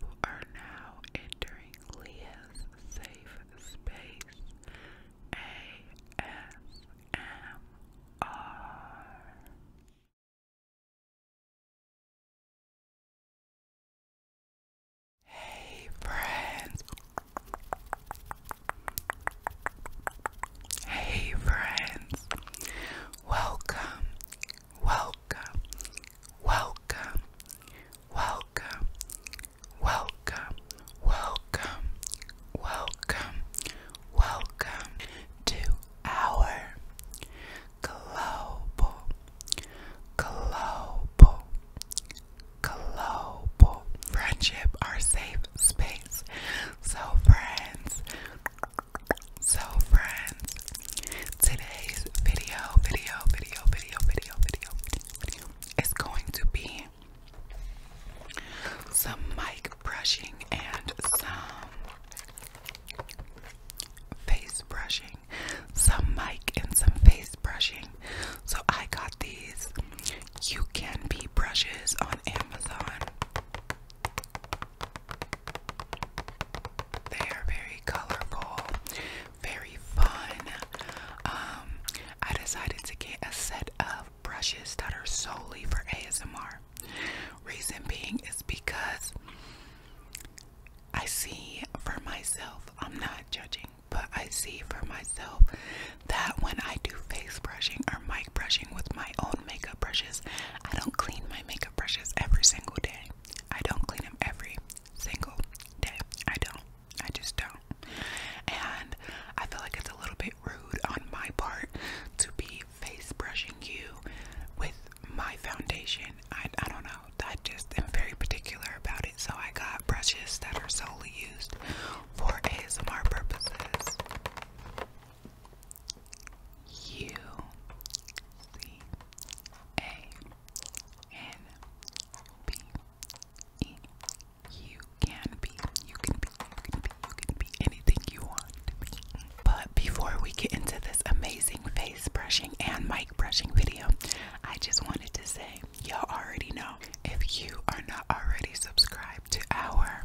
You are now entering Leah's safe space. ASMR. Hey, friends. Hey, friends. Welcome, welcome, welcome, welcome, welcome, welcome, welcome, welcome to our global, global, global friendship, our safe space. So, friends, so friends, today's video, video, video, video, video, video, video is going to be some mic brushing and some face brushing. Some mic and some face brushing. So I got these you can be brushes on Amazon. They are very colorful, very fun. Um, I decided to get a set of brushes that are solely for ASMR. Reason being is because I see for myself, I'm not judging, but I see for myself that when I do face brushing or mic brushing with my own makeup brushes, I don't clean my makeup brushes every single day. I don't clean them every single day. I don't. I just don't. And I feel like it's a little bit rude on my part to be face brushing you with my foundation. I, I don't know. I just am very particular about it. So I got brushes that are solely used for ASMR purposes. You can be, you can be, you can be, you can be anything you want But before we get into this amazing face brushing and mic brushing video, I just wanted to say y'all already know if you are not already subscribed to our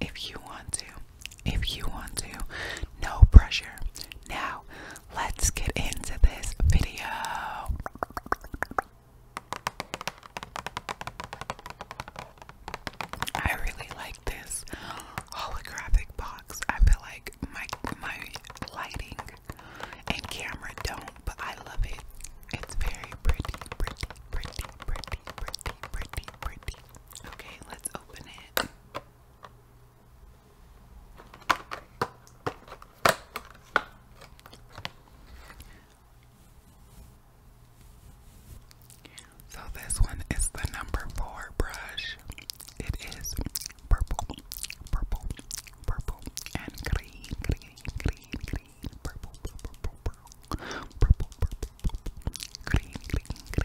if you want to. If you want to. No pressure. Now, let's get into this video. I really like this holographic box. I feel like my my lighting and camera don't, but I love it. It's very pretty, pretty, pretty, pretty, pretty, pretty, pretty. Okay, let's open it. So, this one is the number four brush. It is purple, purple, purple, and green, green, green, green, purple, purple, purple, purple, purple, purple, purple, green, green,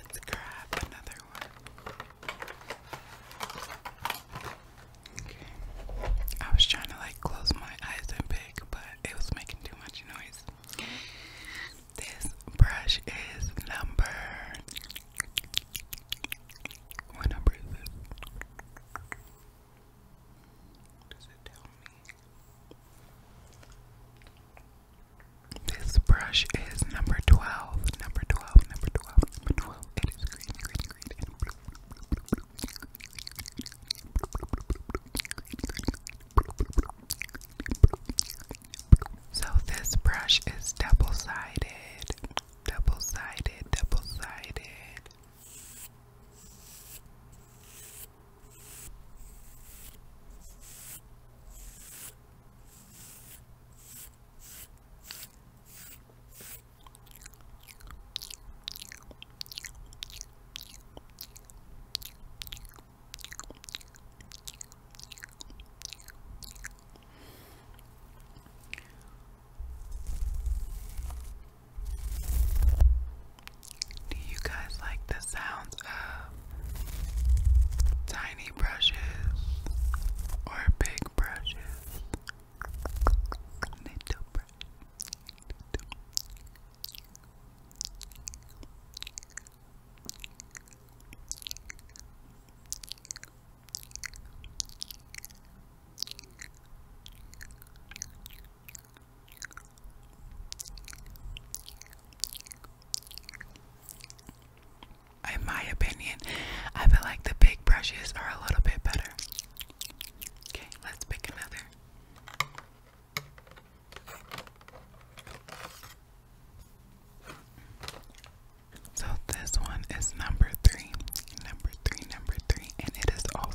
Let's grab another one. Okay. I was trying to like close my eyes and pick, but it was making too much noise. This brush is number what number is this? Does it tell me? This brush is number 12. Number 12, number 12, number 12. It is green, green, green, so this brush is double-sided, double-sided, double-sided. Do you guys like the sounds of tiny brushes or big brushes? Little brush. In my opinion, I feel like the big brushes are a little bit better. Okay, let's pick another. So this one is number three, number three, number three, and it is also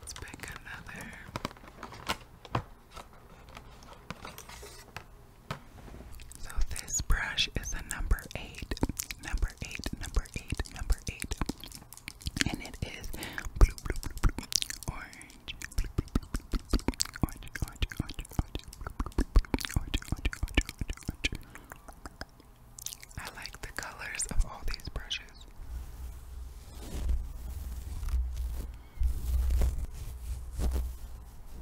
Let's pick another. So this brush is a number eight, number eight, number eight, number eight, and it is I like the colors of all these brushes.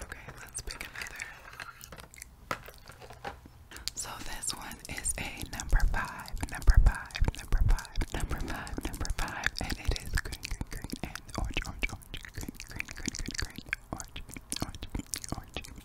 Okay, let's pick another. So this one is a number five, number five, number five number five, number five, and it is green, green, green, and orange, orange, orange, green, green, green, green, green, orange, orange, orange. green, green, green, green, green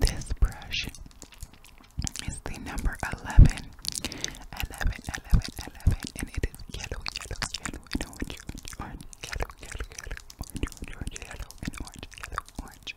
This brush is the number 11. and it is yellow, yellow, yellow, orange, orange, yellow, yellow, yellow, orange, orange, yellow, orange, yellow, orange.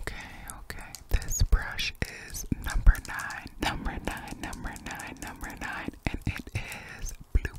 Okay, okay. This brush is number nine, number nine, number nine, number nine, and it is blue,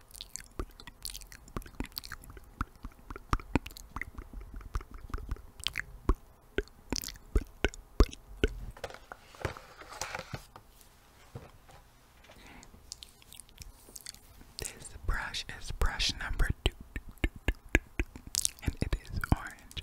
This brush is brush number two, and it is orange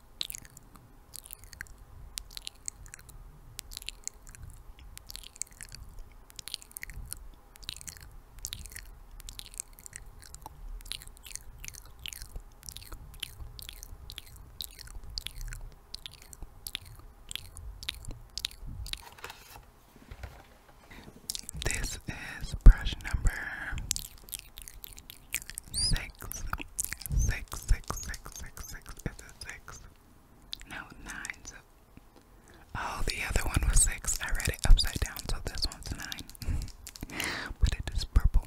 This is brush number six, six, six, six, six, six. No, nine. oh, the other one was six. I read it upside down, so this one's nine. but it is purple,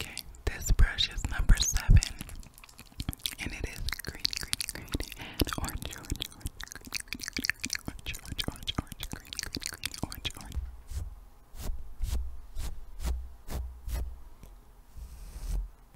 Okay, this brush is number seven, and it is green, green, green, orange, orange, orange, green, green, green, orange, orange.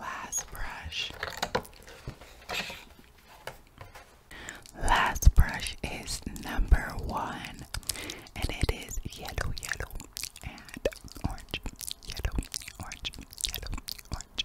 Last brush. Last brush is number one, and it is yellow, yellow, and orange, yellow, orange, yellow, orange.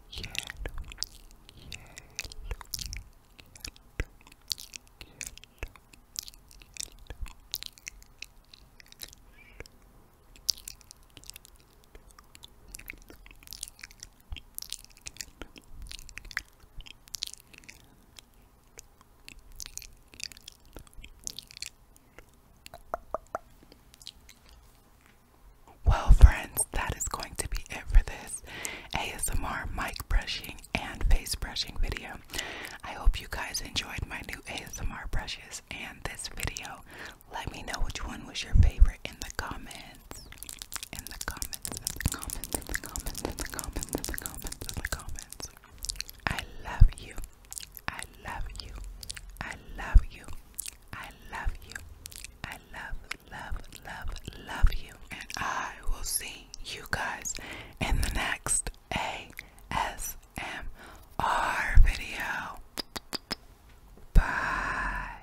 yellow, yellow. Yellow, well, friends, that is going to be it for this ASMR mic brushing and face brushing video. I hope you guys enjoyed my new ASMR brushes and this video. Let me know which one was your favorite in the comments. In the comments, in the comments, in the comments, in the comments, in the comments, in the comments. I love you. I love you. I love you. I love you. I love, love, love, love you. And I will see you guys in the next ASMR video. Bye.